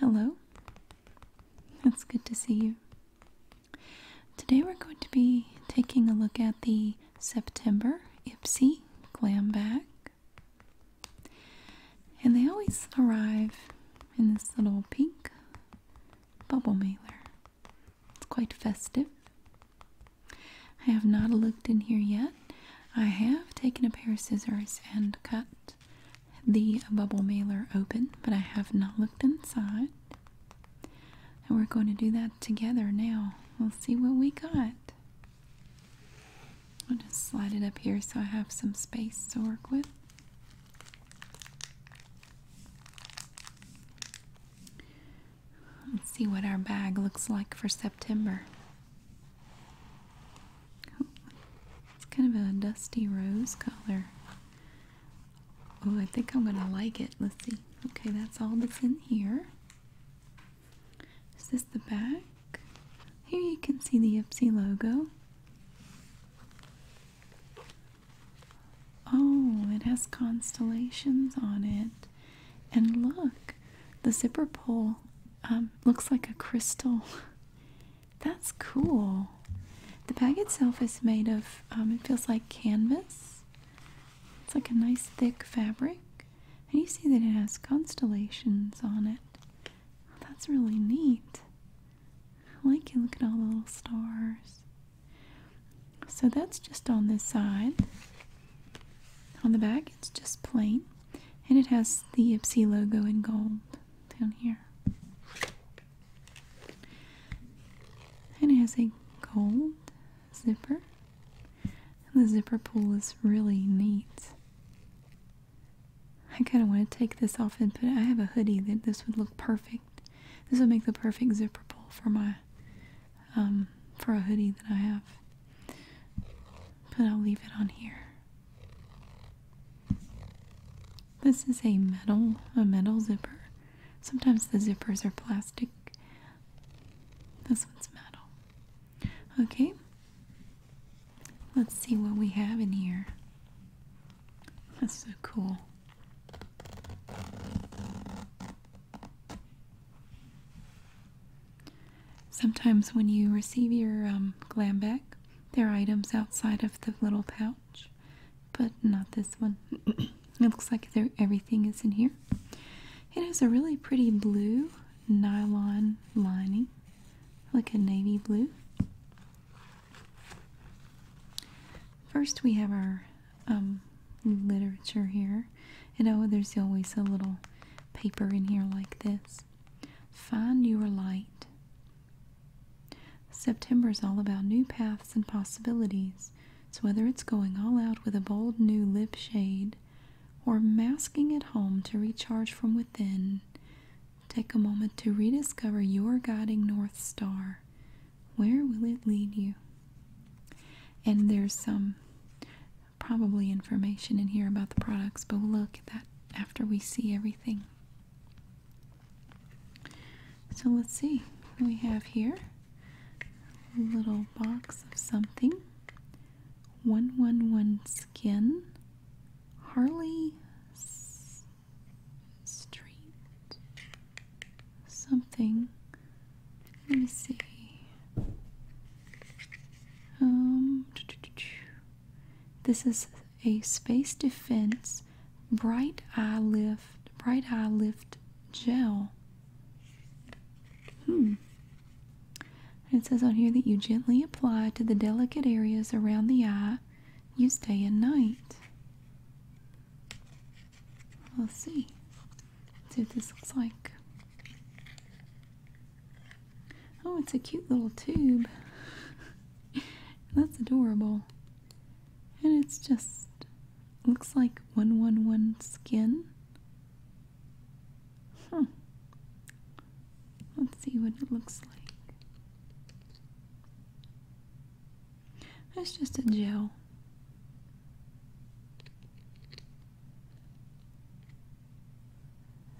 Hello. It's good to see you. Today we're going to be taking a look at the September Ipsy Glam Bag. And they always arrive in this little pink bubble mailer. It's quite festive. I have not looked in here yet. I have taken a pair of scissors and cut the bubble mailer open, but I have not looked inside. And we're going to do that together now. We'll see what we got. I'll just slide it up here so I have some space to work with. Let's see what our bag looks like for September it's kind of a dusty rose color. Oh, I think I'm gonna like it. Let's see. Okay, that's all that's in here. Is this the back? Here you can see the Ipsy logo. Oh, it has constellations on it. And look, the zipper pull um, looks like a crystal. That's cool. The bag itself is made of, um, it feels like canvas. It's like a nice thick fabric. And you see that it has constellations on it. That's really neat. I like you. Look at all the little stars. So that's just on this side. On the back, it's just plain, and it has the Ipsy logo in gold down here. And it has a gold zipper. And the zipper pull is really neat. I kind of want to take this off and put it. I have a hoodie that this would look perfect. This would make the perfect zipper pull for my um, for a hoodie that I have but I'll leave it on here. This is a metal, a metal zipper. Sometimes the zippers are plastic. This one's metal. Okay. Let's see what we have in here. That's so cool. Sometimes, when you receive your um, glam bag, there are items outside of the little pouch, but not this one. it looks like everything is in here. It has a really pretty blue nylon lining, like a navy blue. First, we have our um, literature here here. And oh, there's always a little paper in here like this. Find your light. September is all about new paths and possibilities. So, whether it's going all out with a bold new lip shade or masking at home to recharge from within, take a moment to rediscover your guiding North Star. Where will it lead you? And there's some probably information in here about the products, but we'll look at that after we see everything. So let's see. We have here a little box of something. 111 Skin Harley Street something let me see. Um, this is a Space Defense Bright Eye Lift, Bright Eye Lift Gel. Hmm. It says on here that you gently apply to the delicate areas around the eye, use day and night. Let's see. Let's see what this looks like. Oh, it's a cute little tube. That's adorable. And it's just looks like 111 skin. Huh. Let's see what it looks like. That's just a gel.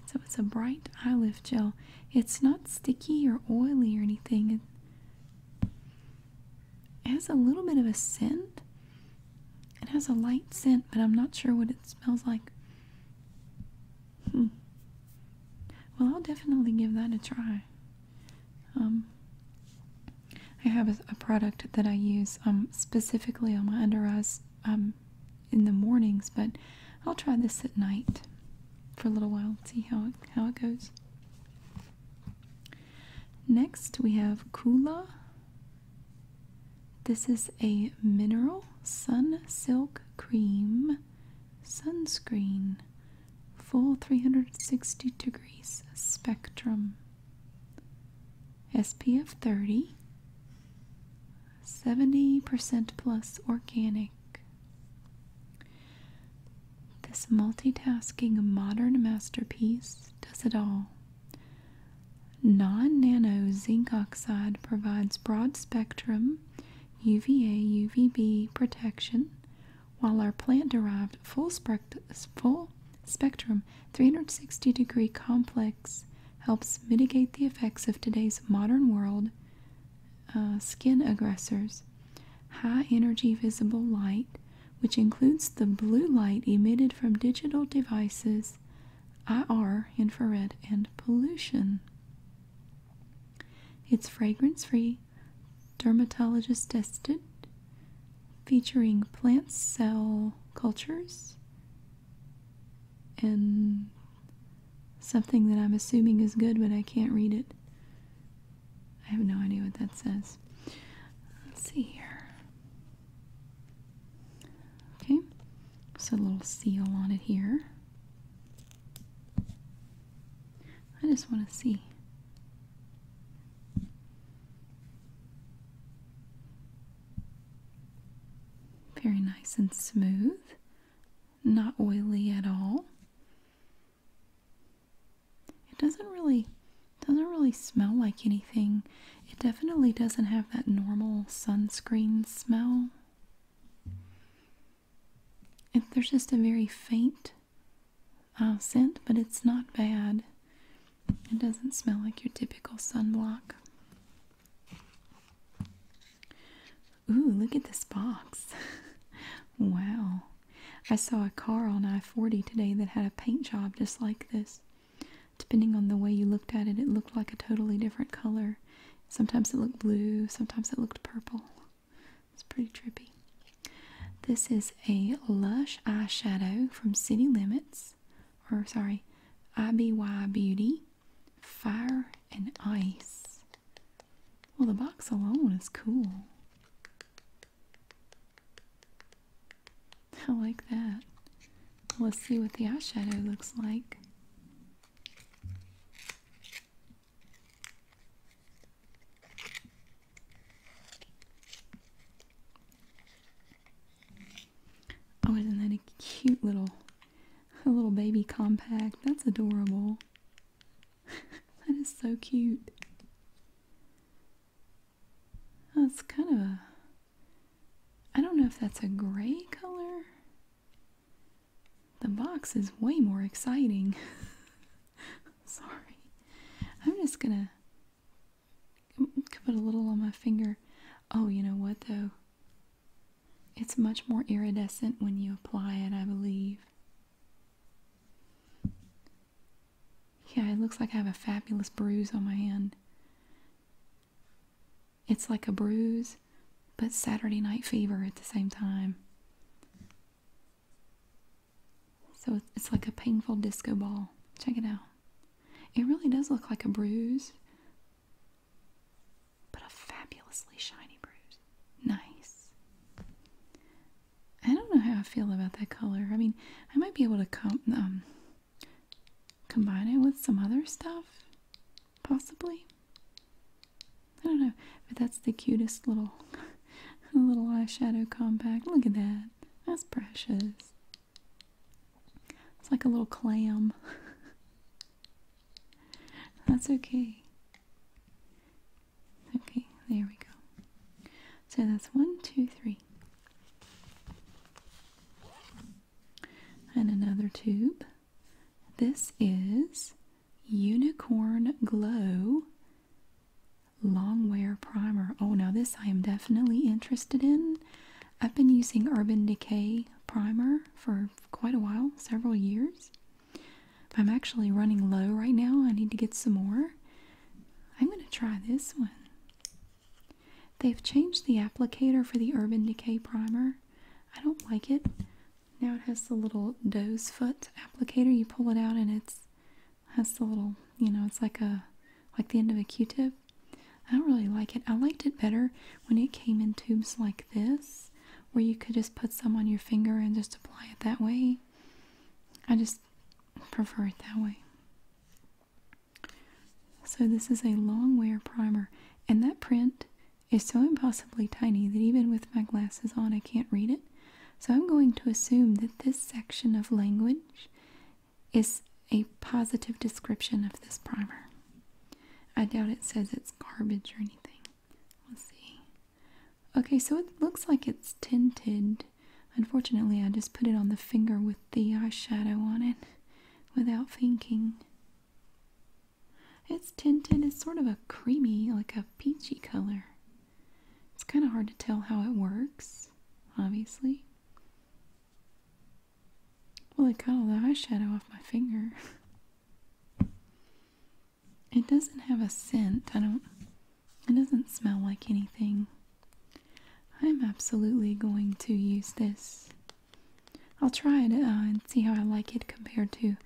So it's a bright eye gel. It's not sticky or oily or anything. It has a little bit of a scent. It has a light scent, but I'm not sure what it smells like. Hmm. Well, I'll definitely give that a try. Um, I have a, a product that I use um, specifically on my under eyes um, in the mornings, but I'll try this at night for a little while, see how how it goes. Next, we have Kula. This is a mineral sun silk cream sunscreen, full 360 degrees spectrum. SPF 30, 70% plus organic. This multitasking modern masterpiece does it all. Non nano zinc oxide provides broad spectrum UVA UVB protection, while our plant derived full, full spectrum 360 degree complex helps mitigate the effects of today's modern world uh, skin aggressors high energy visible light which includes the blue light emitted from digital devices IR infrared and pollution it's fragrance free dermatologist tested featuring plant cell cultures and something that I'm assuming is good, but I can't read it. I have no idea what that says. Let's see here. Okay, so a little seal on it here. I just want to see. Very nice and smooth, not oily at all. It doesn't really doesn't really smell like anything. It definitely doesn't have that normal sunscreen smell. It, there's just a very faint uh, scent, but it's not bad. It doesn't smell like your typical sunblock. Ooh, look at this box. wow. I saw a car on I 40 today that had a paint job just like this. Depending on the way you looked at it, it looked like a totally different color. Sometimes it looked blue, sometimes it looked purple. It's pretty trippy. This is a Lush eyeshadow from City Limits or sorry, IBY Beauty, Fire and Ice. Well, the box alone is cool. I like that. Let's see what the eyeshadow looks like. Oh, isn't that a cute little a little baby compact? That's adorable. that is so cute. That's kind of I I don't know if that's a gray color. The box is way more exciting. Sorry. I'm just gonna could put a little on my finger. Oh, you know what though? It's much more iridescent when you apply it, I believe. Yeah, it looks like I have a fabulous bruise on my hand. It's like a bruise, but Saturday night fever at the same time. So it's like a painful disco ball. Check it out. It really does look like a bruise, but a fabulously shiny bruise. Nice. I don't know how I feel about that color. I mean, I might be able to com um, combine it with some other stuff, possibly. I don't know, but that's the cutest little, little eyeshadow compact. Look at that. That's precious. It's like a little clam. That's okay. Okay, there we go. So that's one, two, three. And another tube. This is Unicorn Glow Longwear Primer. Oh, now this I am definitely interested in I've been using Urban Decay primer for quite a while, several years. I'm actually running low right now. I need to get some more. I'm going to try this one. They've changed the applicator for the Urban Decay primer. I don't like it. Now it has the little doe's foot applicator. You pull it out and it's has the little, you know, it's like a like the end of a Q-tip. I don't really like it. I liked it better when it came in tubes like this, where you could just put some on your finger and just apply it that way. I just prefer it that way. So this is a long wear primer, and that print is so impossibly tiny that even with my glasses on I can't read it. So I'm going to assume that this section of language is a positive description of this primer. I doubt it says it's garbage or anything. Let's see. Okay, so it looks like it's tinted. Unfortunately, I just put it on the finger with the eyeshadow on it without thinking. It's tinted. It's sort of a creamy, like a peachy color. It's kind of hard to tell how it works, obviously. Well, it got all the eyeshadow off my finger. It doesn't have a scent. I don't. It doesn't smell like anything. I'm absolutely going to use this. I'll try it uh, and see how I like it compared to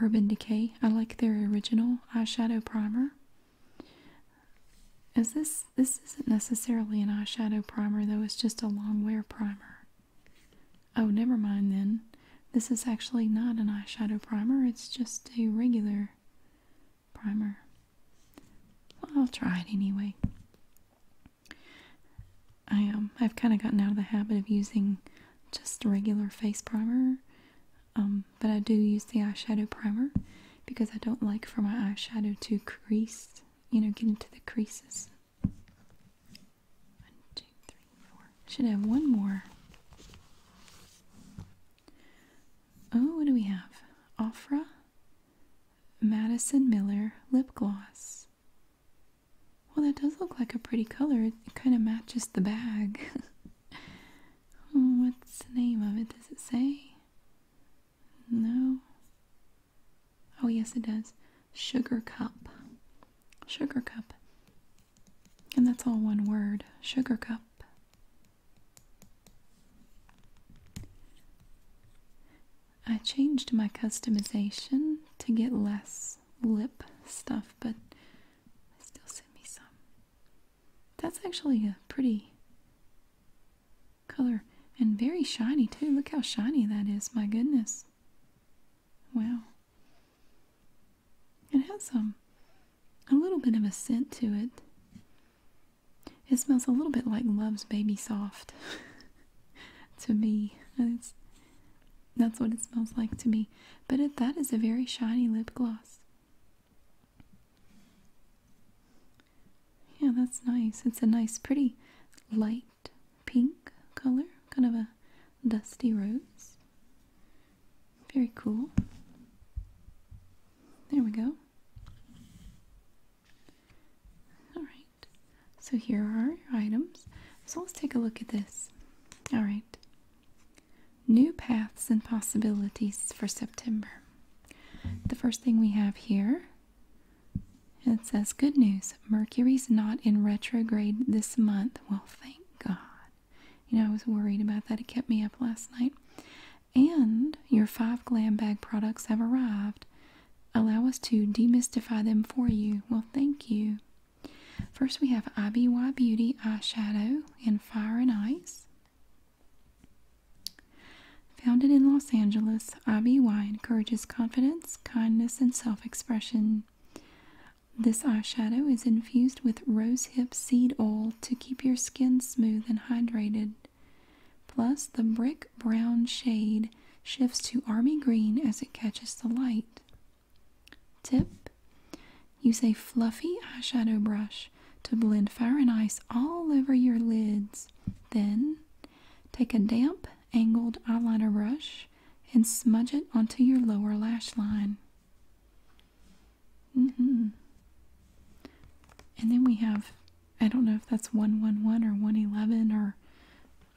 Urban Decay. I like their original eyeshadow primer. Is this this isn't necessarily an eyeshadow primer though it's just a long wear primer oh never mind then this is actually not an eyeshadow primer it's just a regular primer i'll try it anyway i um i've kind of gotten out of the habit of using just regular face primer um, but I do use the eyeshadow primer because I don't like for my eyeshadow to crease you know, get into the creases. One, two, three, four. Should have one more. Oh, what do we have? Offra. Madison Miller lip gloss. Well, that does look like a pretty color. It kind of matches the bag. Oh, what's the name of it? Does it say? No. Oh, yes, it does. Sugar cup. Sugar cup. And that's all one word. Sugar cup. I changed my customization to get less lip stuff, but they still sent me some. That's actually a pretty color and very shiny too. Look how shiny that is. My goodness. Wow. It has some, um, a little bit of a scent to it. It smells a little bit like Love's Baby Soft to me. It's, that's what it smells like to me. But it, that is a very shiny lip gloss. Yeah, that's nice. It's a nice, pretty light pink color, kind of a dusty rose. Very cool. There we go. Alright, so here are your items. So let's take a look at this. Alright. New paths and possibilities for September. The first thing we have here it says, Good news, Mercury's not in retrograde this month. Well, thank God. You know, I was worried about that. It kept me up last night. And your five glam bag products have arrived. Allow us to demystify them for you. Well, thank you. First, we have IBY Beauty Eyeshadow in Fire and Ice. Founded in Los Angeles, IBY encourages confidence, kindness, and self expression. This eyeshadow is infused with rosehip seed oil to keep your skin smooth and hydrated. Plus, the brick brown shade shifts to army green as it catches the light. Tip Use a fluffy eyeshadow brush to blend fire and ice all over your lids. Then, Take a damp, angled eyeliner brush and smudge it onto your lower lash line. Mm-hmm. And then we have, I don't know if that's 111 or 111 or,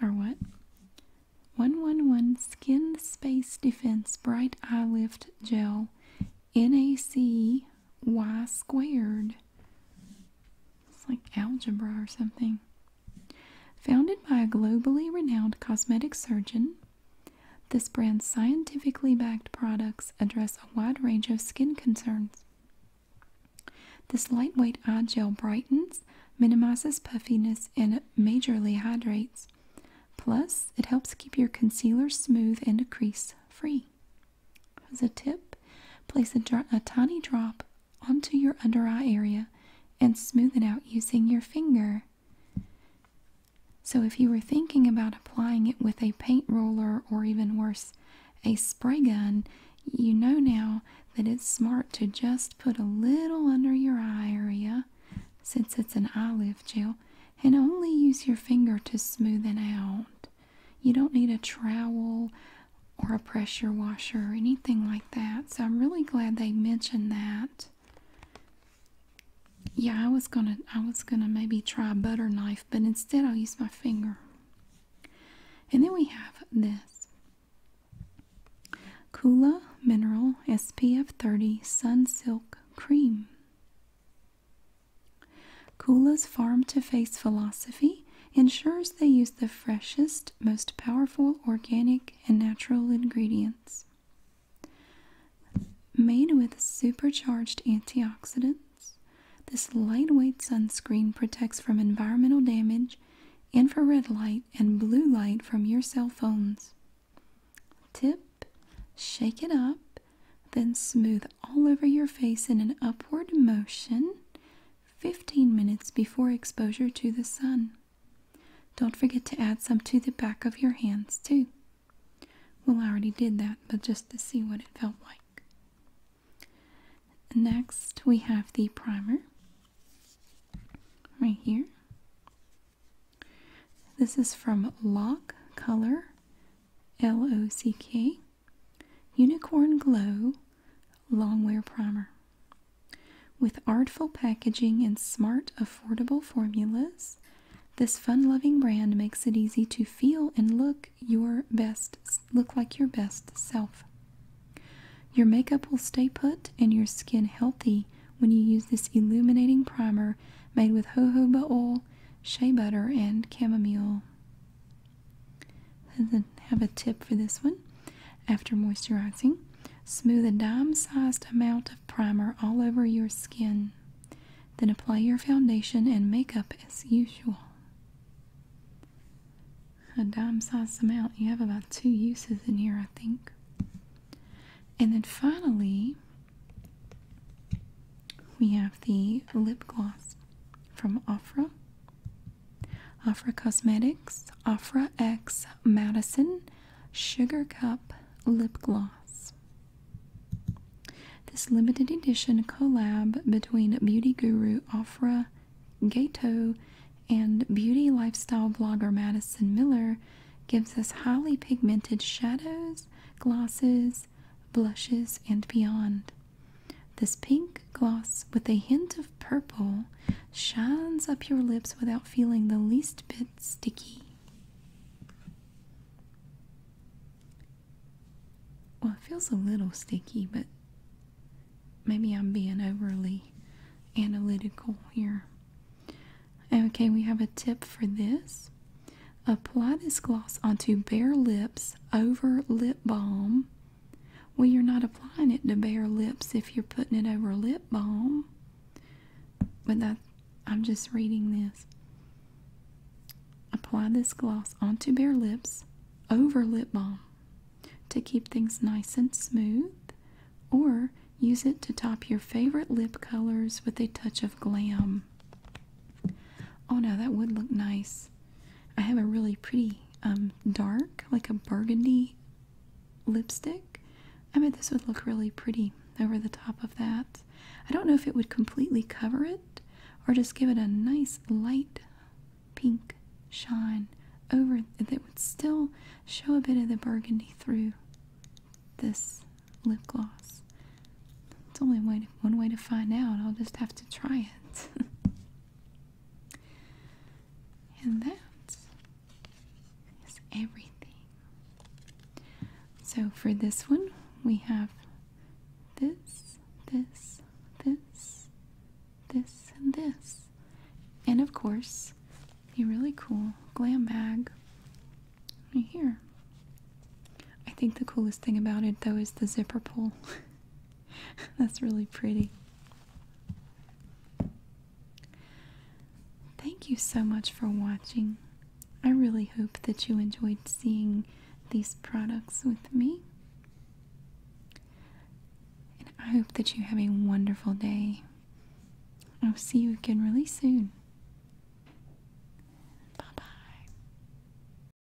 or what. 111 Skin Space Defense Bright Eye Lift Gel NAC y squared. It's like algebra or something. Founded by a globally renowned cosmetic surgeon, this brand's scientifically backed products address a wide range of skin concerns. This lightweight eye gel brightens, minimizes puffiness, and majorly hydrates. Plus, it helps keep your concealer smooth and crease free. As a tip, place a, tiny drop onto your under eye area and smooth it out using your finger. So, if you were thinking about applying it with a paint roller or even worse, a spray gun, you know now that it's smart to just put a little under your eye area since it's an eye lift gel and only use your finger to smooth it out. You don't need a trowel or a pressure washer or anything like that. So I'm really glad they mentioned that. Yeah, I was gonna I was gonna maybe try a butter knife, but instead I'll use my finger. And then we have this Kula Mineral SPF 30 Sun Silk Cream. Kula's farm to face philosophy ensures they use the freshest, most powerful organic and natural ingredients. Made with supercharged antioxidants, this lightweight sunscreen protects from environmental damage, infrared light, and blue light from your cell phones. Tip Shake it up, then smooth all over your face in an upward motion 15 minutes before exposure to the sun. Don't forget to add some to the back of your hands, too. Well, I already did that, but just to see what it felt like. Next, we have the primer right here. This is from Lock Color, L O C K. Unicorn Glow Longwear Primer. With artful packaging and smart, affordable formulas, this fun-loving brand makes it easy to feel and look your best, look like your best self. Your makeup will stay put and your skin healthy when you use this illuminating primer made with jojoba oil, shea butter, and chamomile. Then have a tip for this one. After moisturizing, smooth a dime-sized amount of primer all over your skin. Then apply your foundation and makeup as usual. A dime-sized amount. You have about two uses in here, I think. And then finally, we have the lip gloss from Ofra. Afra Cosmetics, Afra X Madison Sugar Cup Lip Gloss. This limited edition collab between beauty guru Afra Gato and beauty lifestyle blogger Madison Miller gives us highly pigmented shadows, glosses, blushes, and beyond. This pink gloss with a hint of purple shines up your lips without feeling the least bit sticky. Well, it feels a little sticky, but maybe I'm being overly analytical here. Okay, we have a tip for this. Apply this gloss onto bare lips over lip balm. Well, you're not applying it to bare lips if you're putting it over lip balm. But I'm just reading this. Apply this gloss onto bare lips over lip balm to keep things nice and smooth, or use it to top your favorite lip colors with a touch of glam. Oh now that would look nice I have a really pretty um, dark, like a burgundy lipstick. I bet this would look really pretty over the top of that. I don't know if it would completely cover it or just give it a nice light pink shine over that would still show a bit of the burgundy through this lip gloss. It's only way to one way to find out, I'll just have to try it. and that is everything. So for this one, we have this, this, this, this, and this. And of course, a really cool glam bag right here. I think the coolest thing about it though is the zipper pull. That's really pretty. Thank you so much for watching. I really hope that you enjoyed seeing these products with me. And I hope that you have a wonderful day. I'll see you again really soon. Bye bye.